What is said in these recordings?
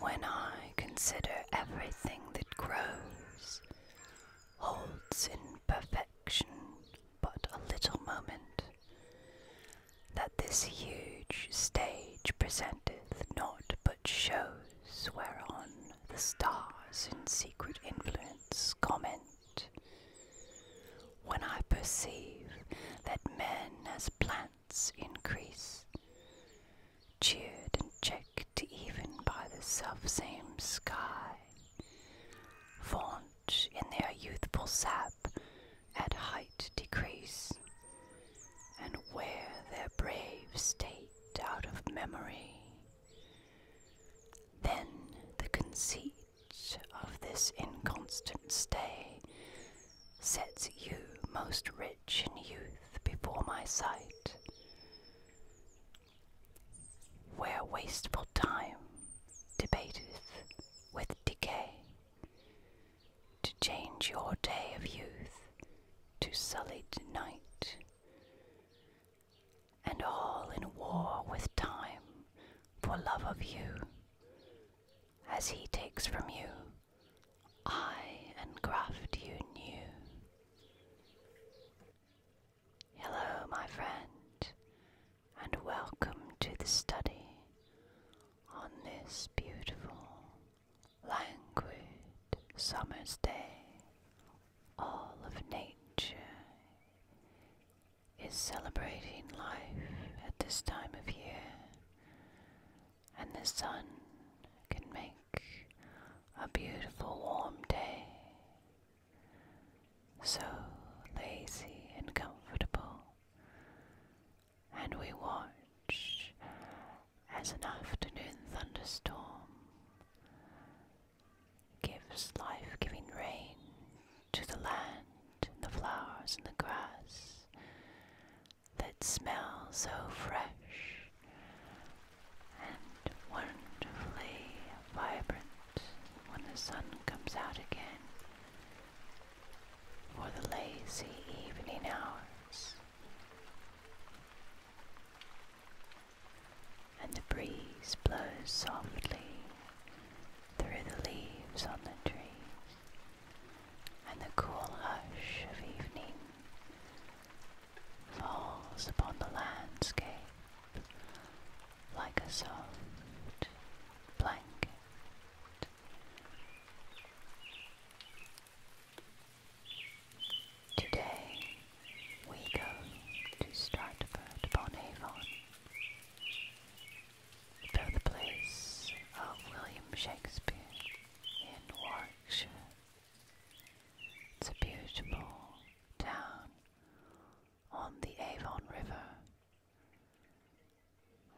When I consider everything that grows, holds in perfection but a little moment, that this huge stage presenteth naught but shows whereon the stars in secret influence comment. When I perceive that men as plants increase, cheered and checked even by the self same sky, vaunt in their youthful sap at height decrease, and wear their brave state out of memory. Then the conceit of this inconstant stay sets you most rich in youth before my sight, where wasteful time debateth with decay, to change your day of youth to sullied night, and all in war with time for love of you. As he takes from you, I engraft you new. Hello, my friend, and welcome to the study on this beautiful, languid summer's day all of nature is celebrating life at this time of year, and the sun can make a beautiful warm day. So lazy and comfortable, and we watch as an afternoon thunderstorm gives life giving rain to the land and the flowers and the grass that smell so fresh and wonderfully vibrant when the sun comes out again for the lazy evening hours and the breeze blows softly through the leaves on the trees, and the cool hush of evening falls upon the landscape like a soft blanket. Today we go to Stratford upon Avon, birthplace of William Shakespeare in Warwickshire. It's a beautiful town on the Avon River,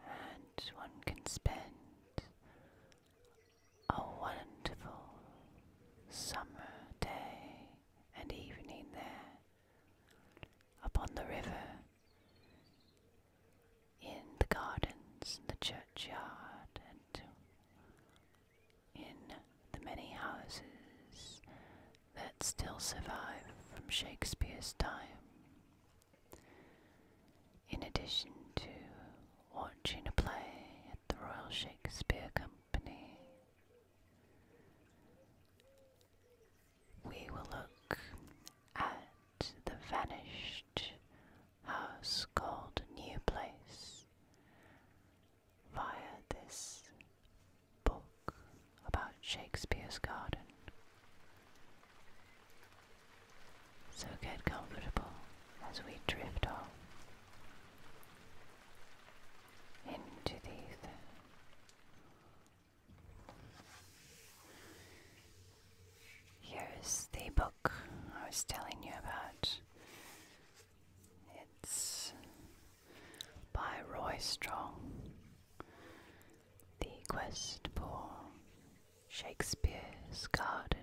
and one can spend a wonderful summer day and evening there upon the river, in the gardens, the churchyard, and in the many houses that still survive from Shakespeare's time. In addition to watching a play at the Royal Shakespeare Company, we will look at the vanished house called New Place via this book about Shakespeare's garden. So get comfortable as we drift off into the ether. Here's the book I was telling you about. It's by Roy Strong. The Quest for Shakespeare's Garden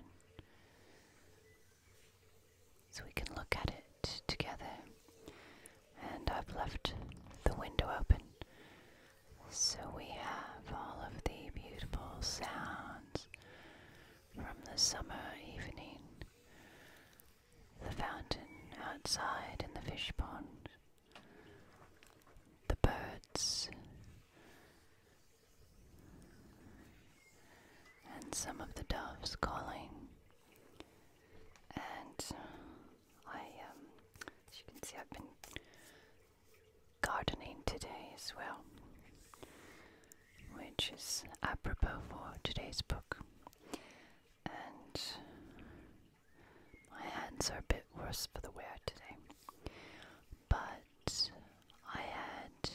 so we can look at it together. And I've left the window open so we have all of the beautiful sounds from the summer evening the fountain outside in the fish pond, the birds, and some of the doves calling. And I, um, as you can see, I've been gardening today as well, which is apropos for today's book. And my hands are a bit worse for the wear today, but I had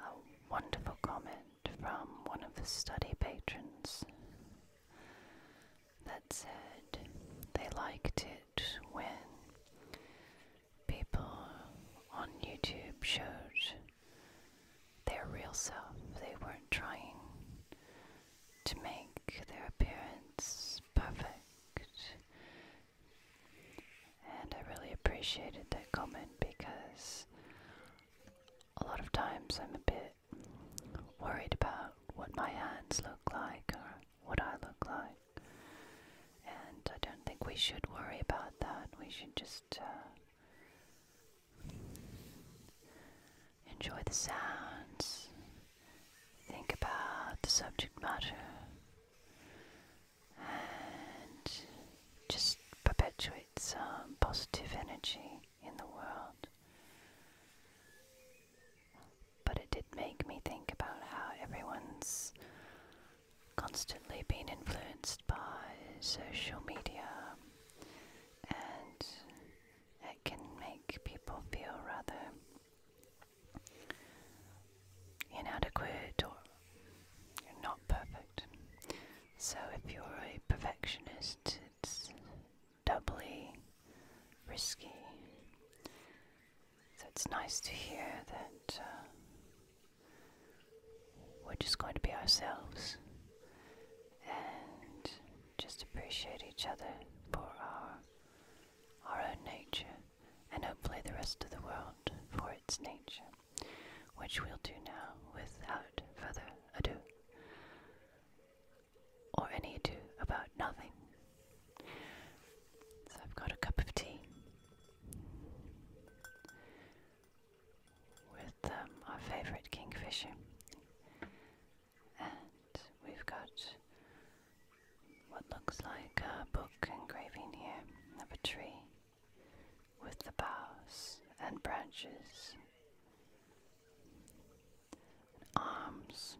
a wonderful comment from one of the study patrons that said they liked it when people on YouTube showed their real self. They weren't trying to make their appearance perfect. And I really appreciated that comment because a lot of times I'm a bit worried about what my hands look like or what I look like. And I don't think we should worry about that. We should just uh, enjoy the sounds, think about the subject matter, and just perpetuates um, positive energy in the world. But it did make me think about how everyone's constantly being influenced by social media and it can make people feel rather inadequate or not perfect. So if you're a perfectionist, it's doubly risky. So it's nice to hear that uh, we're just going to be ourselves and just appreciate each other for our our own nature and hopefully the rest of the world for its nature which we'll do now without further ado, or any ado about nothing. So I've got a cup of tea with um, our favourite kingfisher, and we've got what looks like a book engraving here of a tree with the boughs and branches arms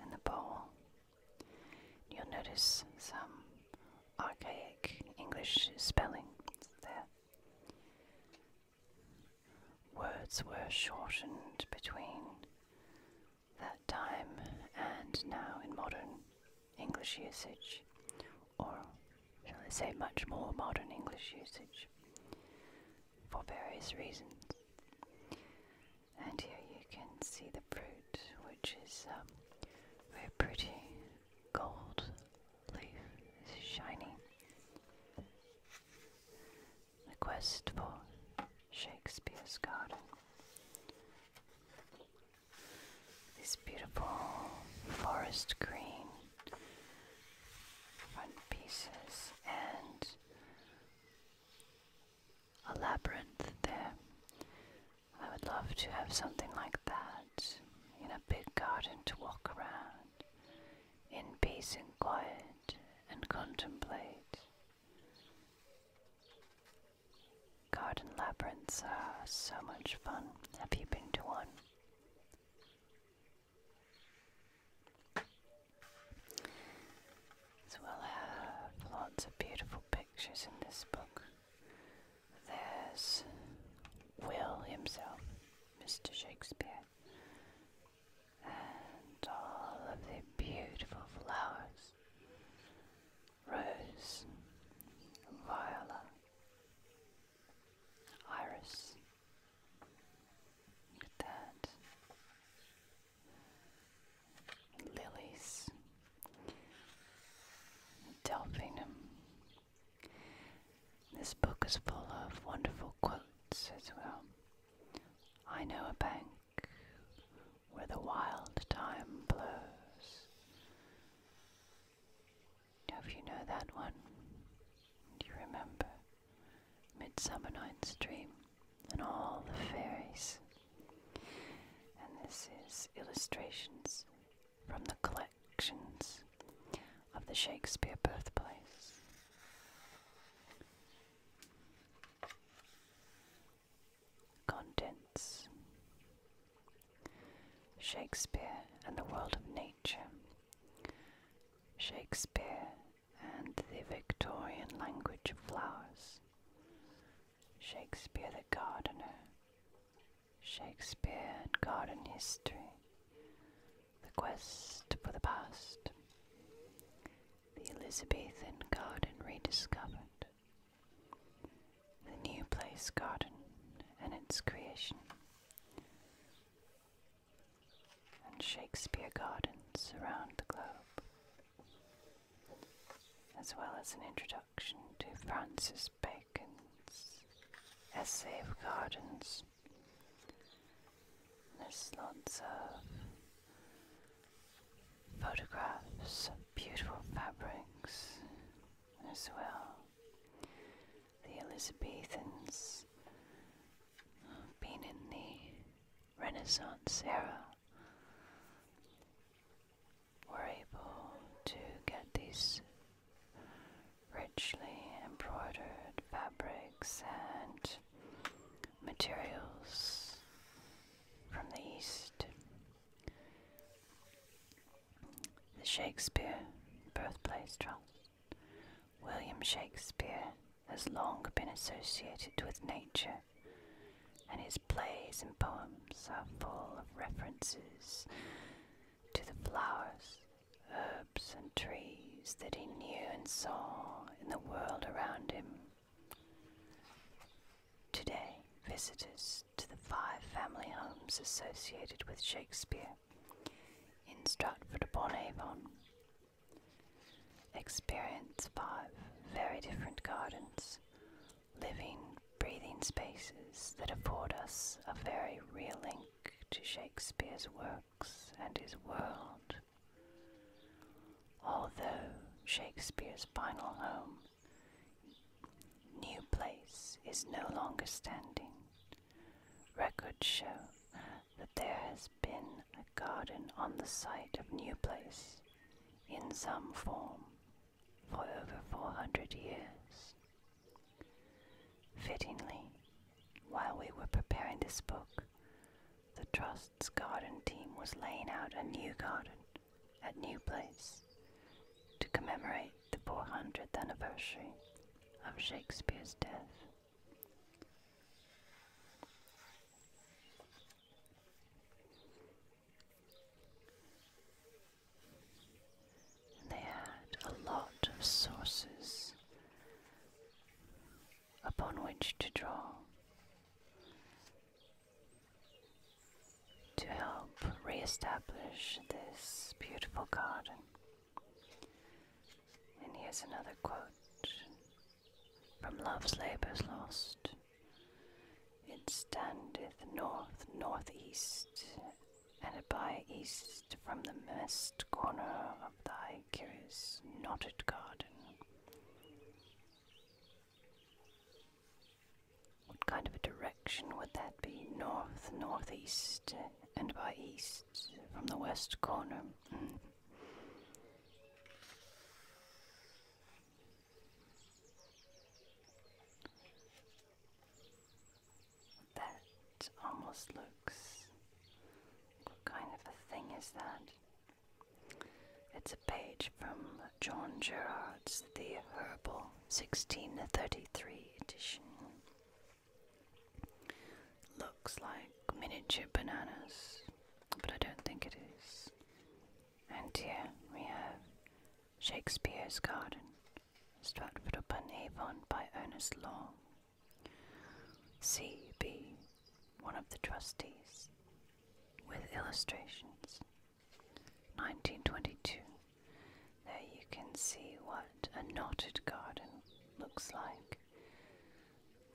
and the bowl. You'll notice some archaic English spelling there. Words were shortened between that time and now in modern English usage, or shall I say much more modern English usage, for various reasons. And here you can see the fruit, which is um, very pretty. Gold leaf shiny. The quest for Shakespeare's garden. These beautiful forest green front pieces and a labyrinth there. I would love to have something like that in a big garden to walk around in peace and quiet and contemplate. Garden labyrinths are so much fun. Have you been to one? we'll have lots of beautiful pictures in this book. There's Will himself, Mr. Shakespeare, and all of the beautiful flowers. Rose, violet, Iris. Look Lilies, delphinium. This book is full of wonderful quotes as well. I know a bank where the wild thyme blows. Now if you know that one, do you remember Midsummer Night's Dream and all the fairies? And this is illustrations from the collections of the Shakespeare birthplace. Contents Shakespeare and the World of Nature, Shakespeare and the Victorian Language of Flowers, Shakespeare the Gardener, Shakespeare and Garden History, The Quest for the Past, The Elizabethan Garden Rediscovered, the new place garden and its creation, and Shakespeare gardens around the globe, as well as an introduction to Francis Bacon's essay of gardens. There's lots of photographs of beautiful fabrics as well. The Elizabethans, being in the Renaissance era, were able to get these richly embroidered fabrics and materials from the East the Shakespeare Birthplace Trust. William Shakespeare has long been associated with nature, and his plays and poems are full of references to the flowers, herbs, and trees that he knew and saw in the world around him. Today, visitors to the five family homes associated with Shakespeare in Stratford upon Avon. Experience five very different gardens, living, breathing spaces that afford us a very real link to Shakespeare's works and his world. Although Shakespeare's final home New place is no longer standing. Records show that there has been a garden on the site of New Place in some form for over 400 years. Fittingly, while we were preparing this book, the Trust's garden team was laying out a new garden at New Place to commemorate the 400th anniversary of Shakespeare's death. they had a lot of sources upon which to draw to help re-establish this beautiful garden. And here's another quote from Love's Labour's Lost. It standeth north, north-east, and by east from the mist corner of thy curious knotted garden. What kind of a direction would that be? North, northeast, and by east from the west corner. Mm-hmm. That almost looks. What kind of a thing is that? It's a page from uh, John Gerard's The Herbal, 1633 edition. Looks like miniature bananas, but I don't think it is. And here we have Shakespeare's Garden, Stratford upon Avon by Ernest Law. C.B., one of the trustees, with illustrations 1922. There you can see what a knotted garden looks like.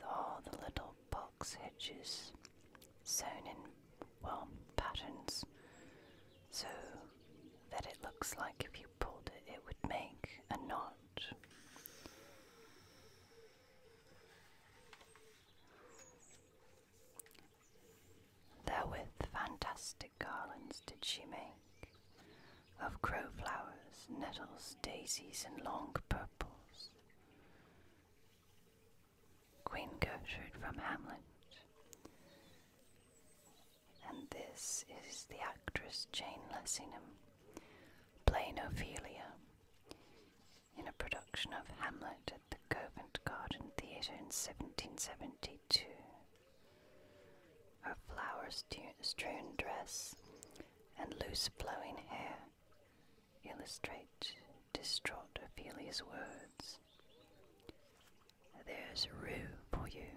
All the little box hitches, sewn in, well, patterns, so that it looks like if you pulled it, it would make a knot. Therewith fantastic garlands did she make of crowflowers, nettles, daisies, and long purples. Queen Gertrude from Hamlet. And this is the actress Jane Lessingham, playing Ophelia, in a production of Hamlet at the Covent Garden Theatre in 1772. Her flowers strewn dress and loose flowing hair illustrate distraught Ophelia's words. There's rue for you.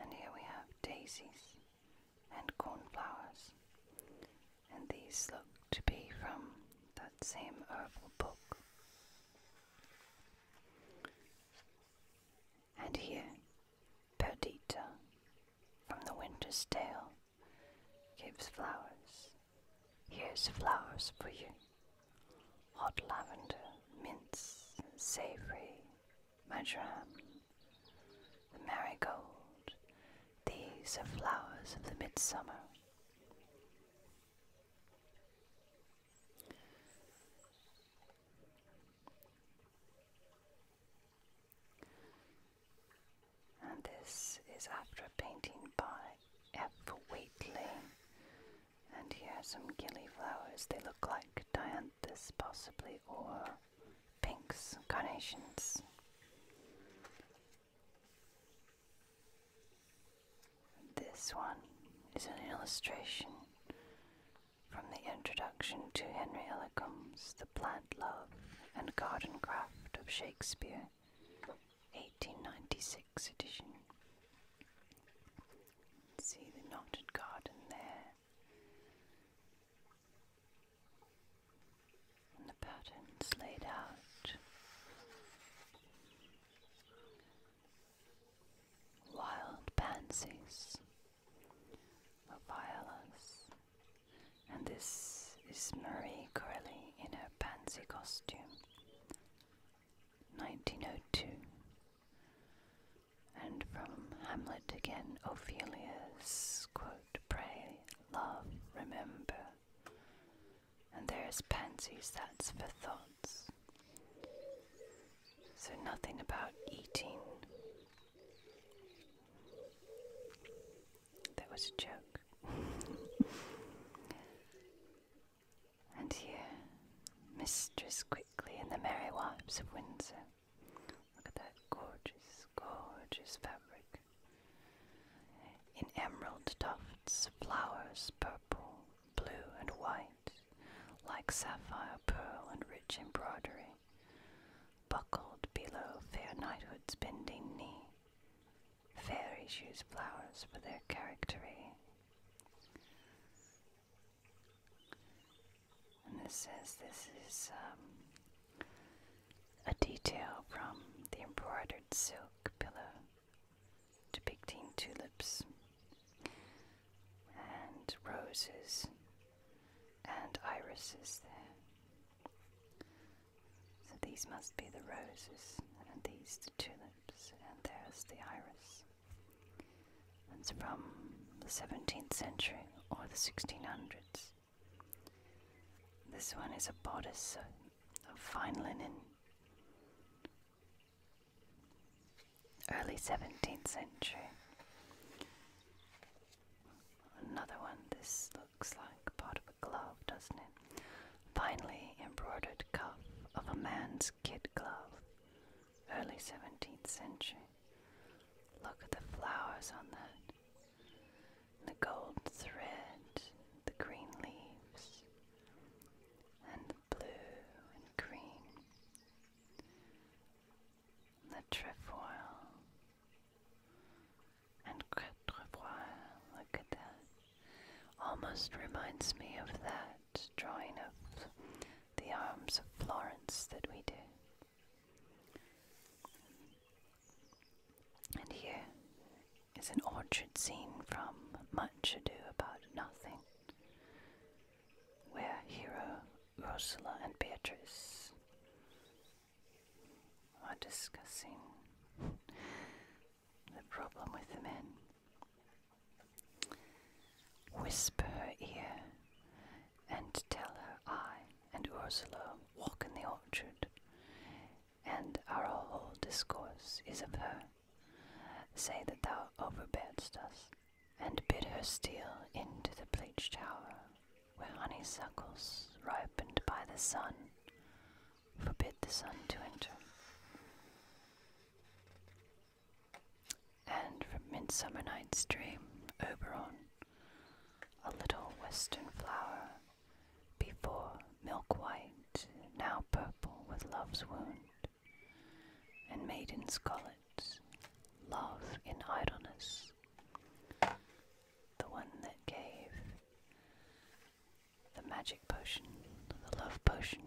And here we have daisies and cornflowers and these look to be from that same herbal book. And here, Perdita from the Winter's Tale gives flowers. Here's flowers for you hot lavender, mints, savory, marjoram, the marigold. These are flowers of the midsummer. And this is after a painting by F. Wheatley. And here are some gillyflowers. They look like dianthus, possibly, or pinks, carnations. This one is an illustration from the introduction to Henry Illicum's The Plant Love and Garden Craft of Shakespeare, 1896 edition. See the knotted garden there and the patterns laid out. Wild pansies or and this is Marie Corelli in her pansy costume, 1902. And from Hamlet again, Ophelia's quote, pray, love, remember. And there's pansies, that's for thoughts. So nothing about eating. That was a joke. and here, Mistress Quickly and the Merry Wives of Windsor. Look at that gorgeous gorgeous fabric. In emerald tufts, flowers purple, blue, and white, like sapphire, pearl, and rich embroidery, buckled below fair knighthood's bending knee. Fairies use flowers for their charactery. And this says this is um, a detail from the embroidered silk pillow depicting tulips and roses and irises there. So these must be the roses, and these the tulips, and there's the iris. It's from the 17th century or the 1600s. This one is a bodice of fine linen. Early 17th century. Another one, this looks like part of a glove, doesn't it? Finely embroidered cuff of a man's kid glove. Early 17th century. Look at the flowers on that the gold thread, the green leaves, and the blue and green, the trefoil and trefoil. Look at that. Almost reminds me of that drawing of the arms of Florence that we do. And here is an orchard scene from Much Ado About Nothing, where Hero, Ursula, and Beatrice are discussing the problem with the men. Whisper her ear and tell her I and Ursula walk in the orchard and our whole discourse is of her. Say that thou overbearest us, and bid her steal into the bleached tower, where honeysuckles ripened by the sun forbid the sun to enter. And from Midsummer Night's Dream, Oberon, a little western flower before, milk white, now purple with love's wound, and maiden scarlet, love in idleness, the one that gave the magic potion, the love potion.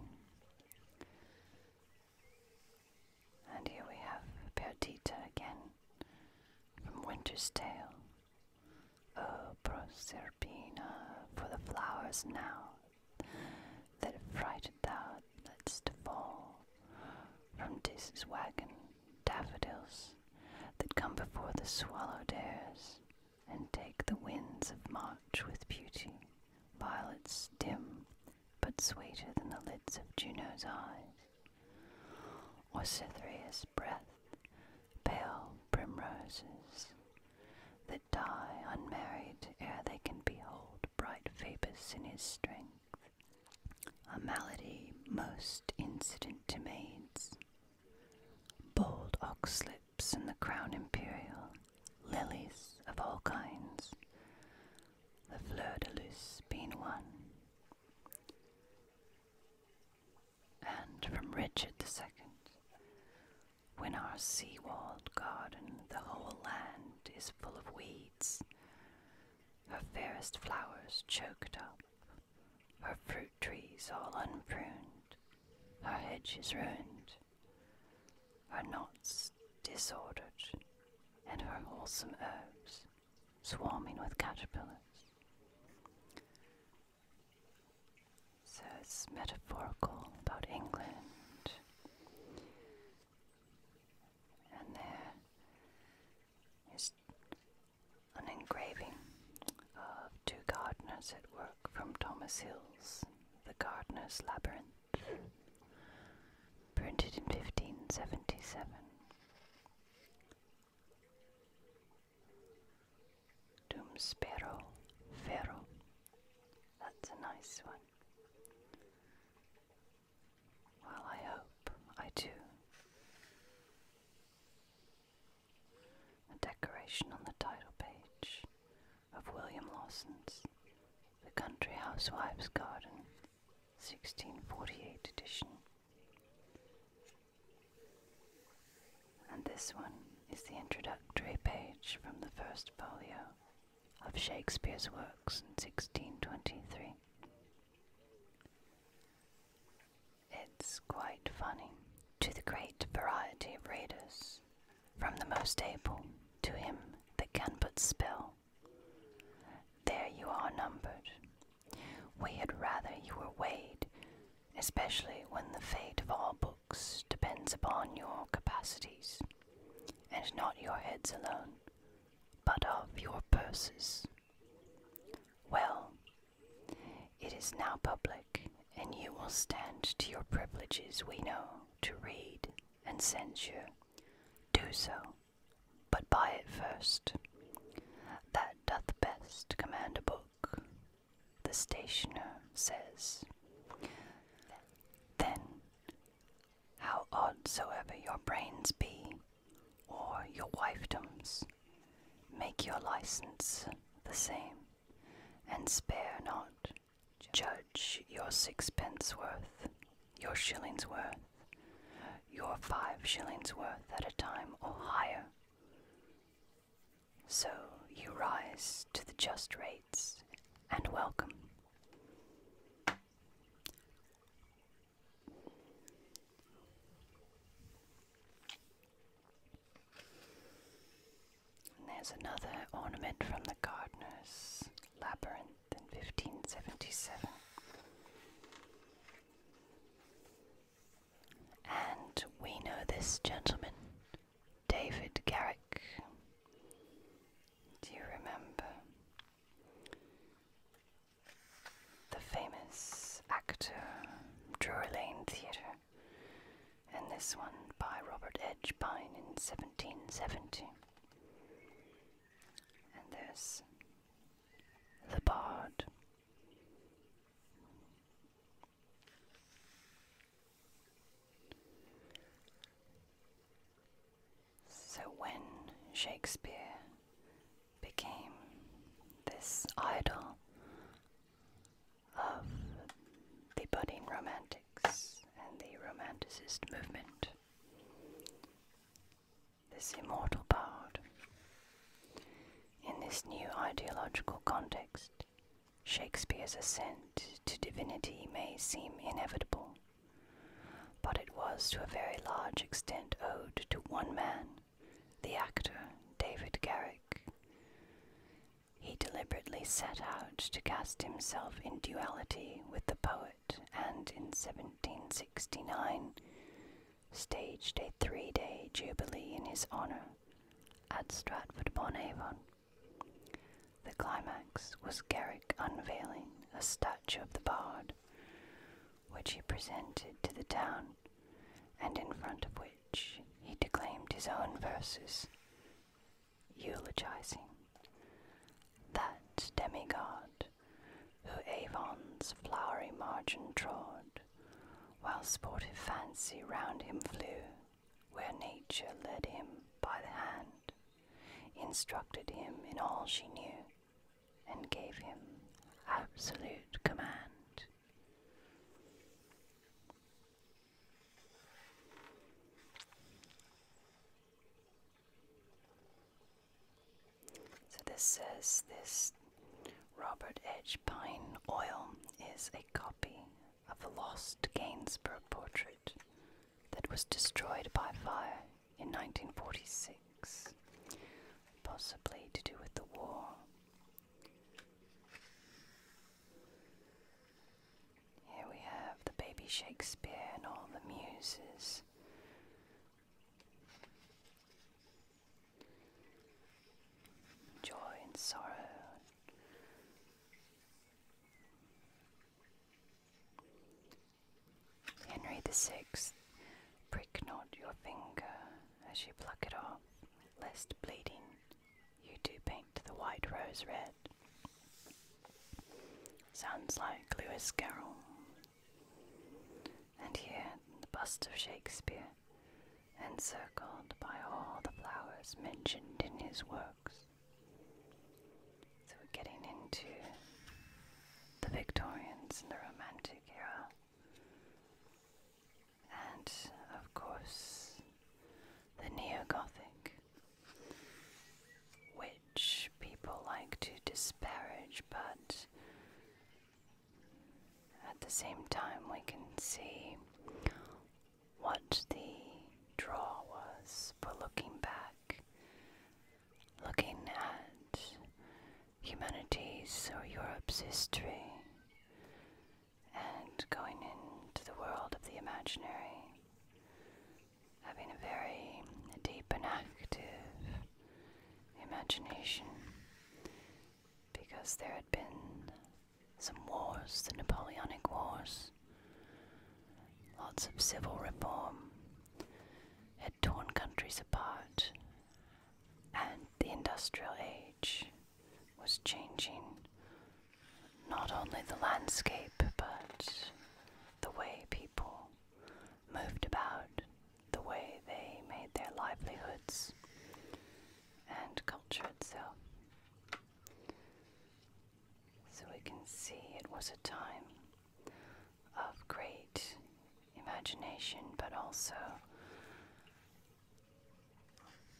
And here we have Perdita again from Winter's Tale, O oh, Proserpina, for the flowers now that frighted thou let's fall from Theseus' wagon, daffodils that come before the swallow dares, and take the winds of March with beauty, violets dim but sweeter than the lids of Juno's eyes, or Cytherea's breath pale primroses that die unmarried ere they can behold bright Phoebus in his strength. A malady most incident to maids. Bold oxlips and the crown imperial, lilies of all kinds, the fleur de luce being one and from Richard II. When our sea-walled garden, the whole land is full of weeds, her fairest flowers choked up, her fruit trees all unpruned, her is ruined, her knots disordered, and her wholesome herbs swarming with caterpillars. So it's metaphorical about England and there is an engraving of two gardeners at work from Thomas Hill's The Gardener's Labyrinth, printed in 1577. Dum spero ferro. That's a nice one. Well, I hope I do. A decoration on the title page of William Lawson's The Country Housewife's Garden, 1648 edition. And this one is the introductory page from the first folio of Shakespeare's works in 1623. It's quite funny to the great variety of readers, from the most able to him that can but spell. There you are numbered. We had rather you were weighed especially when the fate of all books depends upon your capacities, and not your heads alone, but of your purses. Well, it is now public, and you will stand to your privileges, we know, to read and censure. Do so, but buy it first. That doth best command a book the stationer says, Then, how odd soever your brains be, or your wifedoms, make your license the same, and spare not. Judge your sixpence worth, your shillings worth, your five shillings worth at a time or higher, so you rise to the just rates and welcome. And there's another ornament from the gardener's labyrinth in 1577. And we know this gentleman, David Garrick. Do you remember the famous actor, Drury Lane Theatre, and this one by Robert Pine in 1770? And this, the bard so, when Shakespeare became this idol of the budding romantics and the romanticist movement, this immortal bard. In this new ideological context, Shakespeare's ascent to divinity may seem inevitable, but it was to a very large extent owed to one man, the actor David Garrick. He deliberately set out to cast himself in duality with the poet, and in 1769 staged a three day jubilee in his honour at Stratford upon Avon. The climax was Garrick unveiling a statue of the bard, which he presented to the town, and in front of which he declaimed his own verses, eulogizing that demigod who Avon's flowery margin trod while sportive fancy round him flew, where nature led him by the hand, instructed him in all she knew, and gave him absolute command. So this says this Robert Edge Pine Oil is a copy of a lost Gainsborough portrait that was destroyed by fire in 1946, possibly to do with the war. Here we have the baby Shakespeare and all the muses joy and sorrow. Henry the Sixth, prick not your finger as you pluck it off, lest bleeding you do paint the white rose red. Sounds like Lewis Carroll and here the bust of Shakespeare, encircled by all the flowers mentioned in his works. So we're getting into the Victorians and the Romantic era, and of course the Neo Gothic, which people like to disparage, but at the same time, we can see what the draw was, but looking back, looking at humanity's or Europe's history, and going into the world of the imaginary, having a very deep and active imagination because there had been some wars, the Napoleonic Wars, lots of civil reform had torn countries apart, and the industrial age was changing not only the landscape but the way people moved about the way they made their livelihoods and culture itself. So we can see it was a time of great imagination, but also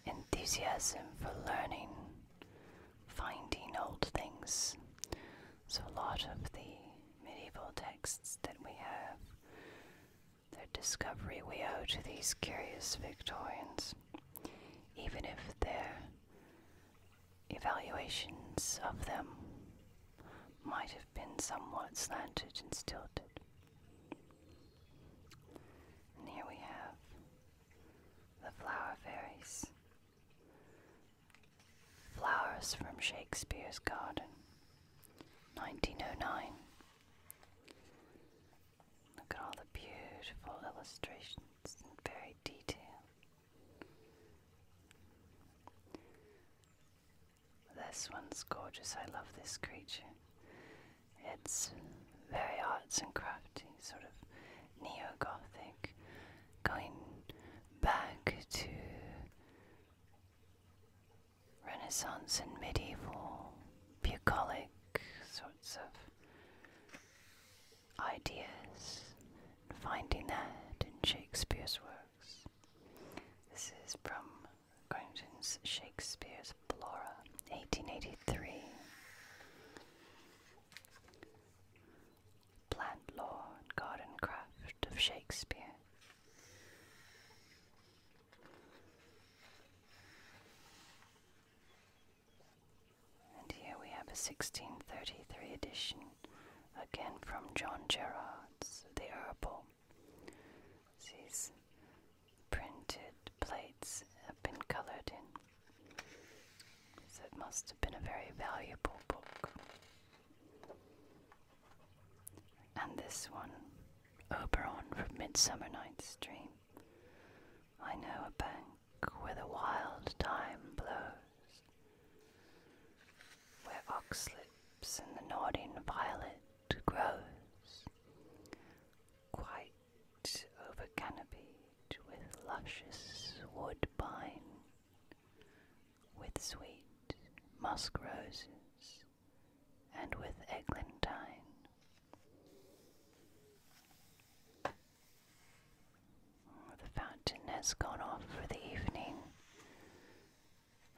enthusiasm for learning, finding old things. So, a lot of the medieval texts that we have their discovery we owe to these curious Victorians, even if their evaluations of them might have been somewhat slanted and stilted. here we have the flower fairies, flowers from Shakespeare's garden. 1909. Look at all the beautiful illustrations very detail. This one's gorgeous. I love this creature. It's very arts and crafty, sort of neo gothic, going back to Renaissance and medieval bucolic sorts of ideas, and finding that in Shakespeare's works. This is from Crichton's Shakespeare's Flora, 1883. Plant law and garden craft of Shakespeare. And here we have a 1633 edition, again from John Gerard's The Herbal. These printed plates have been coloured in, so it must have been a very valuable book. And this one Oberon from Midsummer Night's Dream. I know a bank where the wild thyme blows, where oxlips and the nodding violet grows, quite overcanopied with luscious woodbine, with sweet musk roses and with eglantine. Oh, the fountain has gone off for the evening,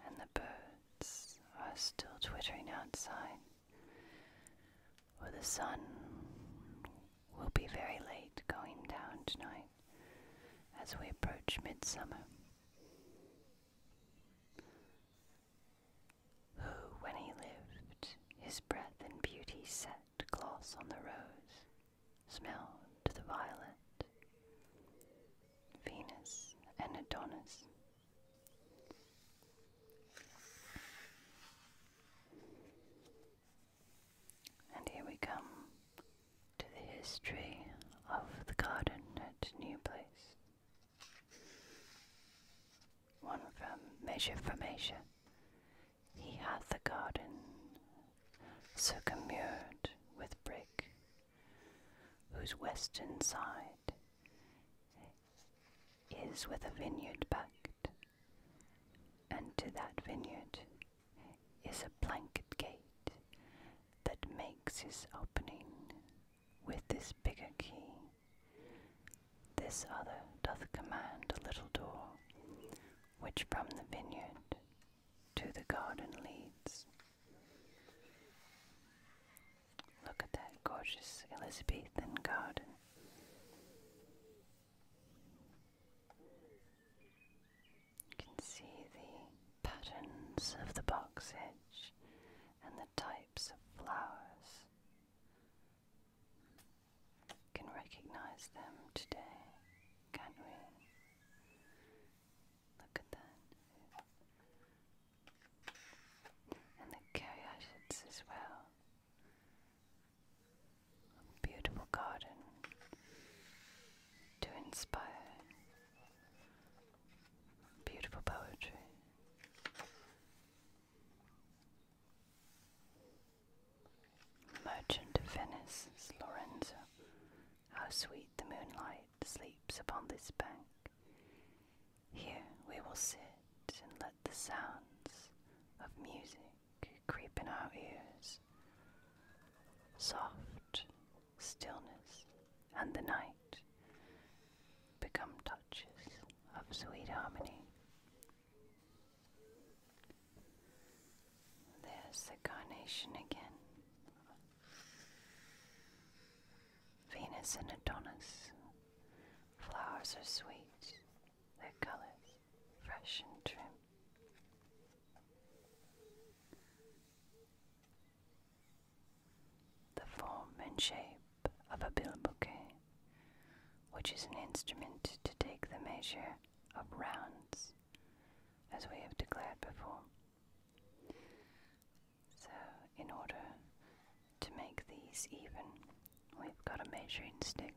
and the birds are still twittering outside. Or the sun will be very late going down tonight as we approach midsummer. Who, when he lived, his breath and beauty set gloss on the rose, smelled the violet, Venus and Adonis. And here we come to the history of the garden at New Place. One from Measure for Measure. He hath a garden circummured with brick, whose western side is with a vineyard backed, and to that vineyard is a blanket gate that makes his opening with this bigger key. This other doth command a little door, which from the vineyard to the garden leads. Look at that gorgeous Elizabethan garden. You can see the patterns of the box edge and the types of flowers. Can recognize them today, can we? Look at that. And the caryatids as well. beautiful garden to inspire Beautiful poetry. Merchant Venice, Lorenzo. How sweet the moonlight sleeps upon this bank. Here we will sit and let the sounds of music creep in our ears. Soft stillness, and the night become touches of sweet harmony. There's the carnation again. Venus and Adonis. Flowers are sweet, their colors fresh and trim. The form and shape of a bilbouquet, which is an instrument to take the measure of rounds, as we have declared before. So, in order to make these even, we've got a measuring stick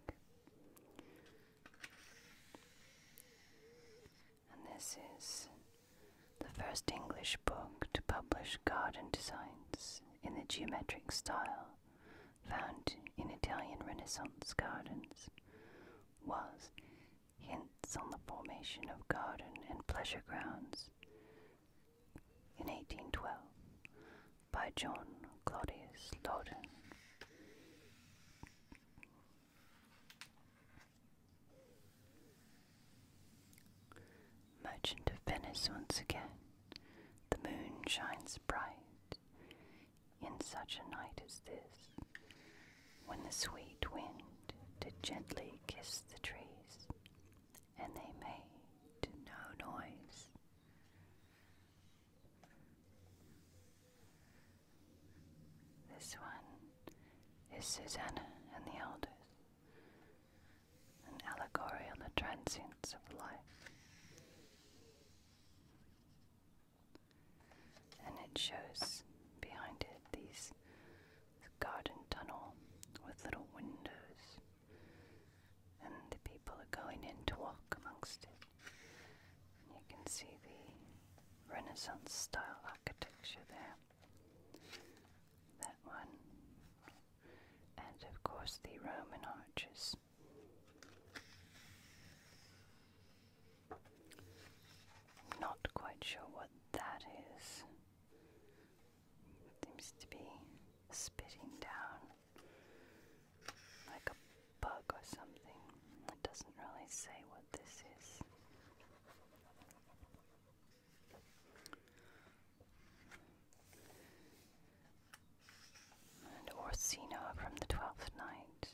and this is the first English book to publish garden designs in the geometric style found in Italian Renaissance gardens, was Hints on the Formation of Garden and Pleasure Grounds in 1812 by John Claudius Loudon. Merchant of Venice once again, the moon shines bright in such a night as this, when the sweet wind did gently kiss the trees, and they made no noise. This one is Susanna and the Elders an allegory on the transience of life. And it shows behind it these garden tunnel with little windows, and the people are going in to walk amongst it. And you can see the Renaissance style architecture there. That one. And of course the Roman arches. I'm not quite sure what that is. It seems to be spitting down like a bug or something. It doesn't really say what this is. Orsino from the Twelfth Night,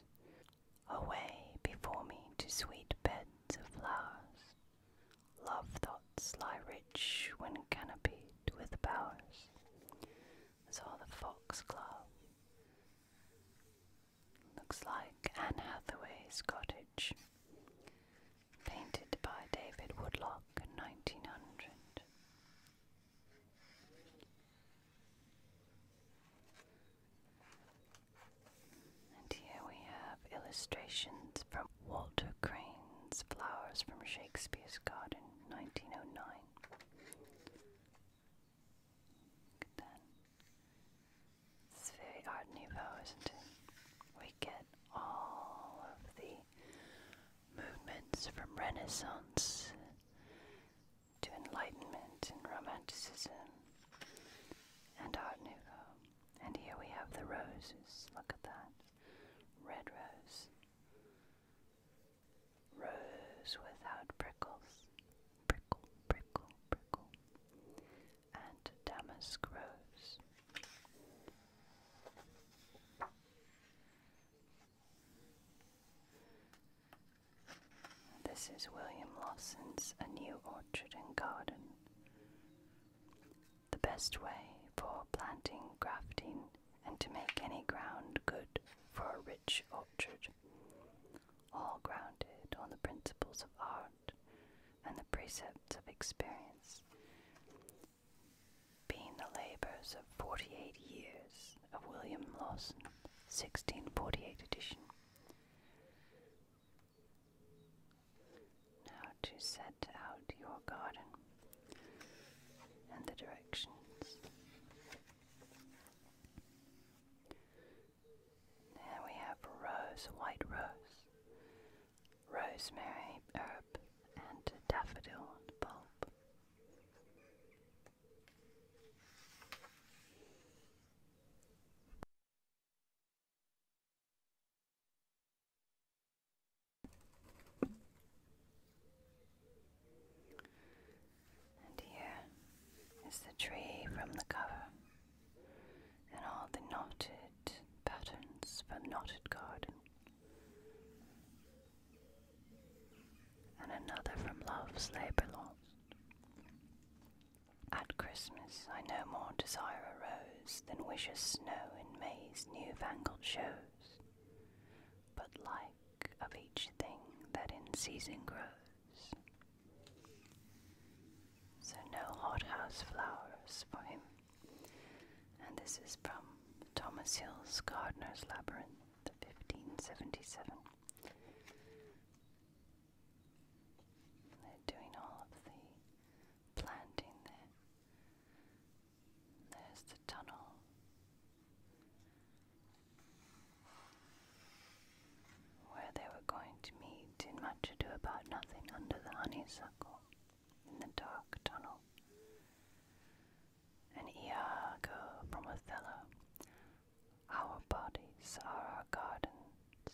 away before me to sweet beds of flowers. Love thoughts lie rich when canopied with bowers. Saw the foxglove Looks like Anne Hathaway's cottage. Painted by David Woodlock 1900. And here we have illustrations from Walter Crane's Flowers from Shakespeare's Garden, 1909. Look at that. It's very Art Nouveau, isn't it? We get all of the movements from Renaissance to Enlightenment and Romanticism and Art Nouveau. And here we have the roses. Look at that. Red rose. Rose without prickles. Prickle, prickle, prickle and damask grows. This is William Lawson's A New Orchard and Garden. The best way for planting, grafting, and to make any ground good for a rich orchard. All grounded on the principles of art and the precepts of experience, being the labours of forty eight years of William Lawson, 1648 edition. Now to set out your garden and the directions. Then we have rose, white rose, rosemary herb, and daffodil bulb. And here is the tree from the cover. And all the knotted patterns for knotted garden. And another from Love's Labour Lost. At Christmas, I no more desire a rose than wish wishes snow in May's new-fangled shows, but like of each thing that in season grows, so no hothouse flowers for him. And this is from Thomas Hill's Gardener's Labyrinth, 1577. They're doing all of the planting there. There's the tunnel where they were going to meet in Much Ado About Nothing under the honeysuckle in the dark tunnel. And Iago from Othello, our bodies are our gardens,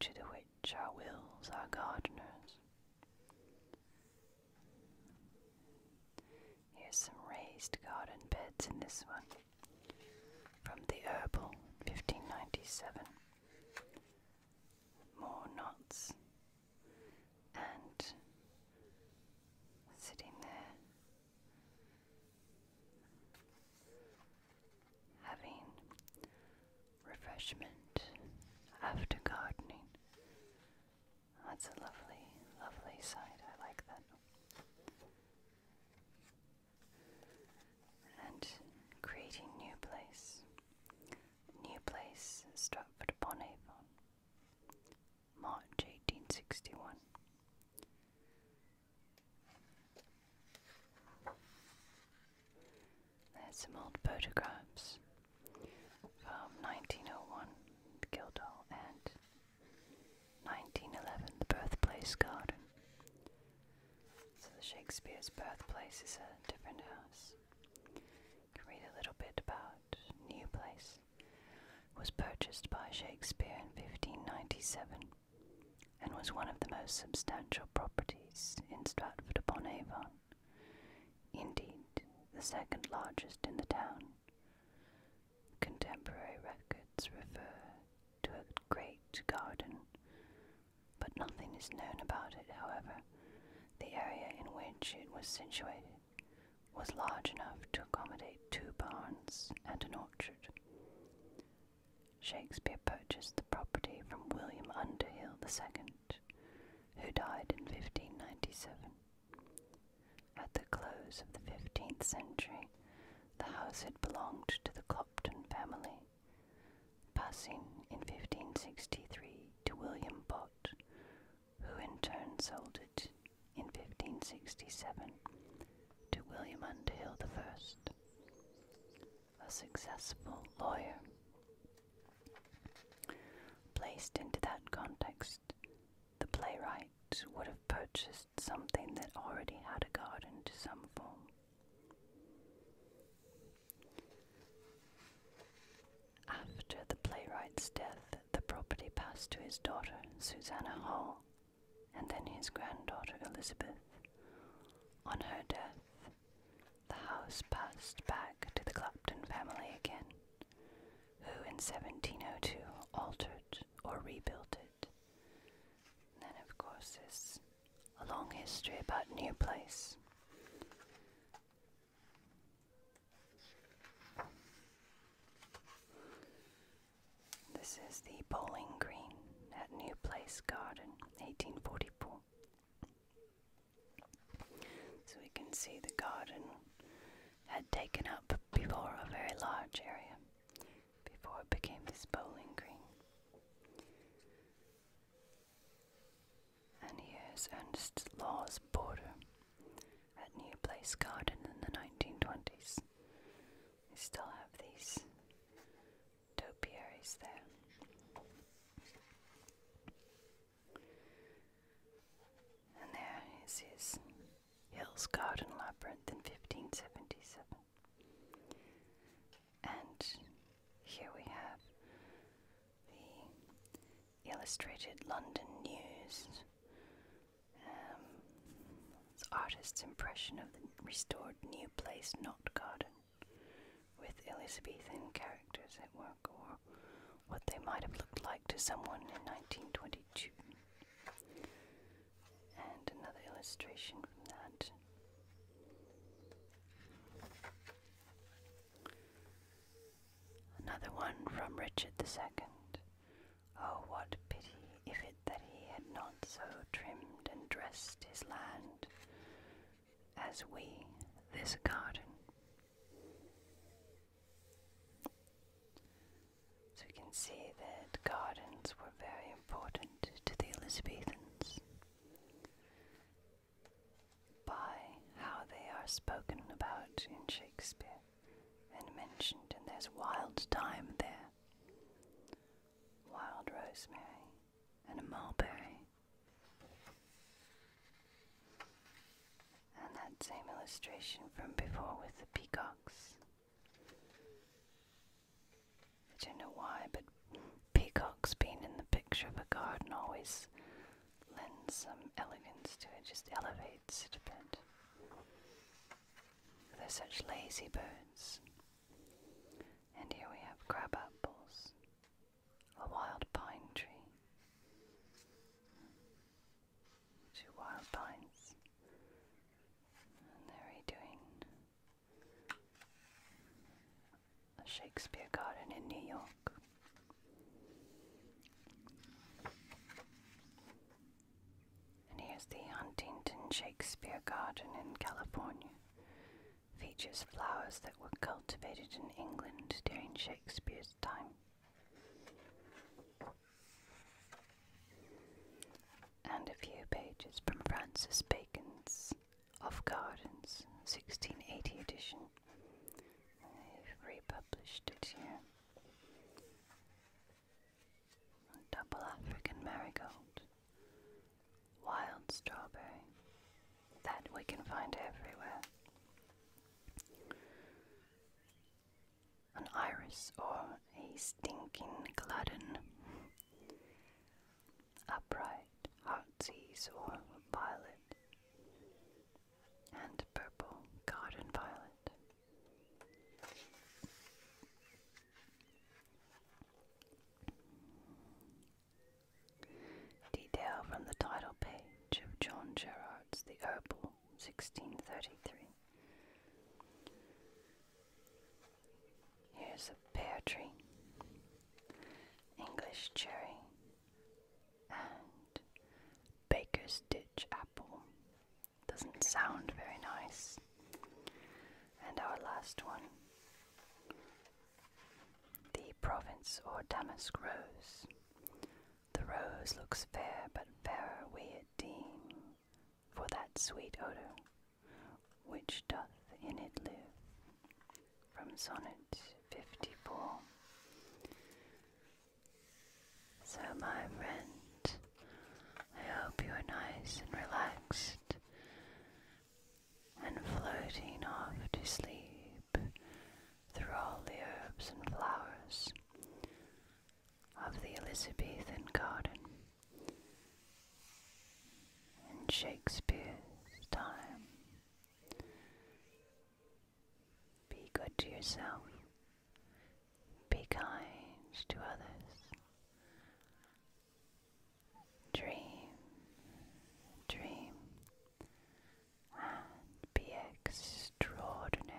to the which our wills are gardeners. Here's some raised garden beds in this one. From the Herbal, 1597. More knots. And sitting there, having refreshment after gardening. That's a lovely, lovely sight. I like that and creating new place. New place, Stratford upon Avon, March 1861. There's some old photographs from 1901, Guildhall, and 1911, the Birthplace Garden. So the Shakespeare's birthplace is a different house. can read a little bit about New Place. was purchased by Shakespeare in 1597 and was one of the most substantial properties in Stratford upon Avon. Indeed, the second largest in the town. Contemporary records refer to a great garden, but nothing is known about it, however. The area in which it was situated was large enough to accommodate two barns and an orchard. Shakespeare purchased the property from William Underhill II, who died in 1597. At the close of the 15th century, the house had belonged to the Clopton family, passing in 1563 to William Bott, who in turn sold it in 1567 to William Underhill a successful lawyer. Placed into that context, the playwright would have purchased something that already had a garden to some form. After the playwright's death, the property passed to his daughter, Susanna Hall, and then his granddaughter, Elizabeth. On her death, the house passed back to the Clapton family again, who in 1702 altered or rebuilt it. then, of course, this a long history about new place. This is the bowling green at New Place Garden, 1844. So we can see the garden had taken up before a very large area before it became this bowling green. And here's Ernest Law's border at New Place Garden in the 1920s. We still have these topiaries there. And there is his Hills Garden Labyrinth in 1577. And here we have the Illustrated London News. Um, artist's impression of the restored New Place, Not Garden, with Elizabethan characters at work, or what they might have looked like to someone in 1922 and another illustration from that. Another one from Richard the Second. Oh, what pity if it that he had not so trimmed and dressed his land as we this garden. So you can see that gardens were very important to the Elizabethans by how they are spoken about in Shakespeare and mentioned, and there's wild thyme there, wild rosemary, and mulberry. And that same illustration from before with the peacocks. I don't know why, but peacocks being in the picture of a garden always lends some elegance to it, just elevates it a bit. They're such lazy birds. And here we have crab apples, a wild pine tree, two wild pines, and they're doing a Shakespeare garden in New York. And here's the Huntington Shakespeare Garden in California. Features flowers that were cultivated in England during Shakespeare's time and a few pages from Francis Bacon's Of Gardens, 1680 edition. They've republished it here. Double African marigold, wild strawberry, that we can find everywhere. An iris or a stinking glutton upright heartsease or violet, and purple garden violet. Detail from the title page of John Gerard's The Herbal, 1633. Here's a pear tree, English cherry, and baker's ditch apple. Doesn't sound very nice. And our last one the province or damask rose. The rose looks fair, but fairer we deem for that sweet odor which doth in it live. From Sonnet 54. So, my friend, I hope you are nice and relaxed and floating off to sleep through all the herbs and flowers of the Elizabethan garden in Shakespeare's time. Be good to yourself. Be kind to others. Dream, dream, and be extraordinary.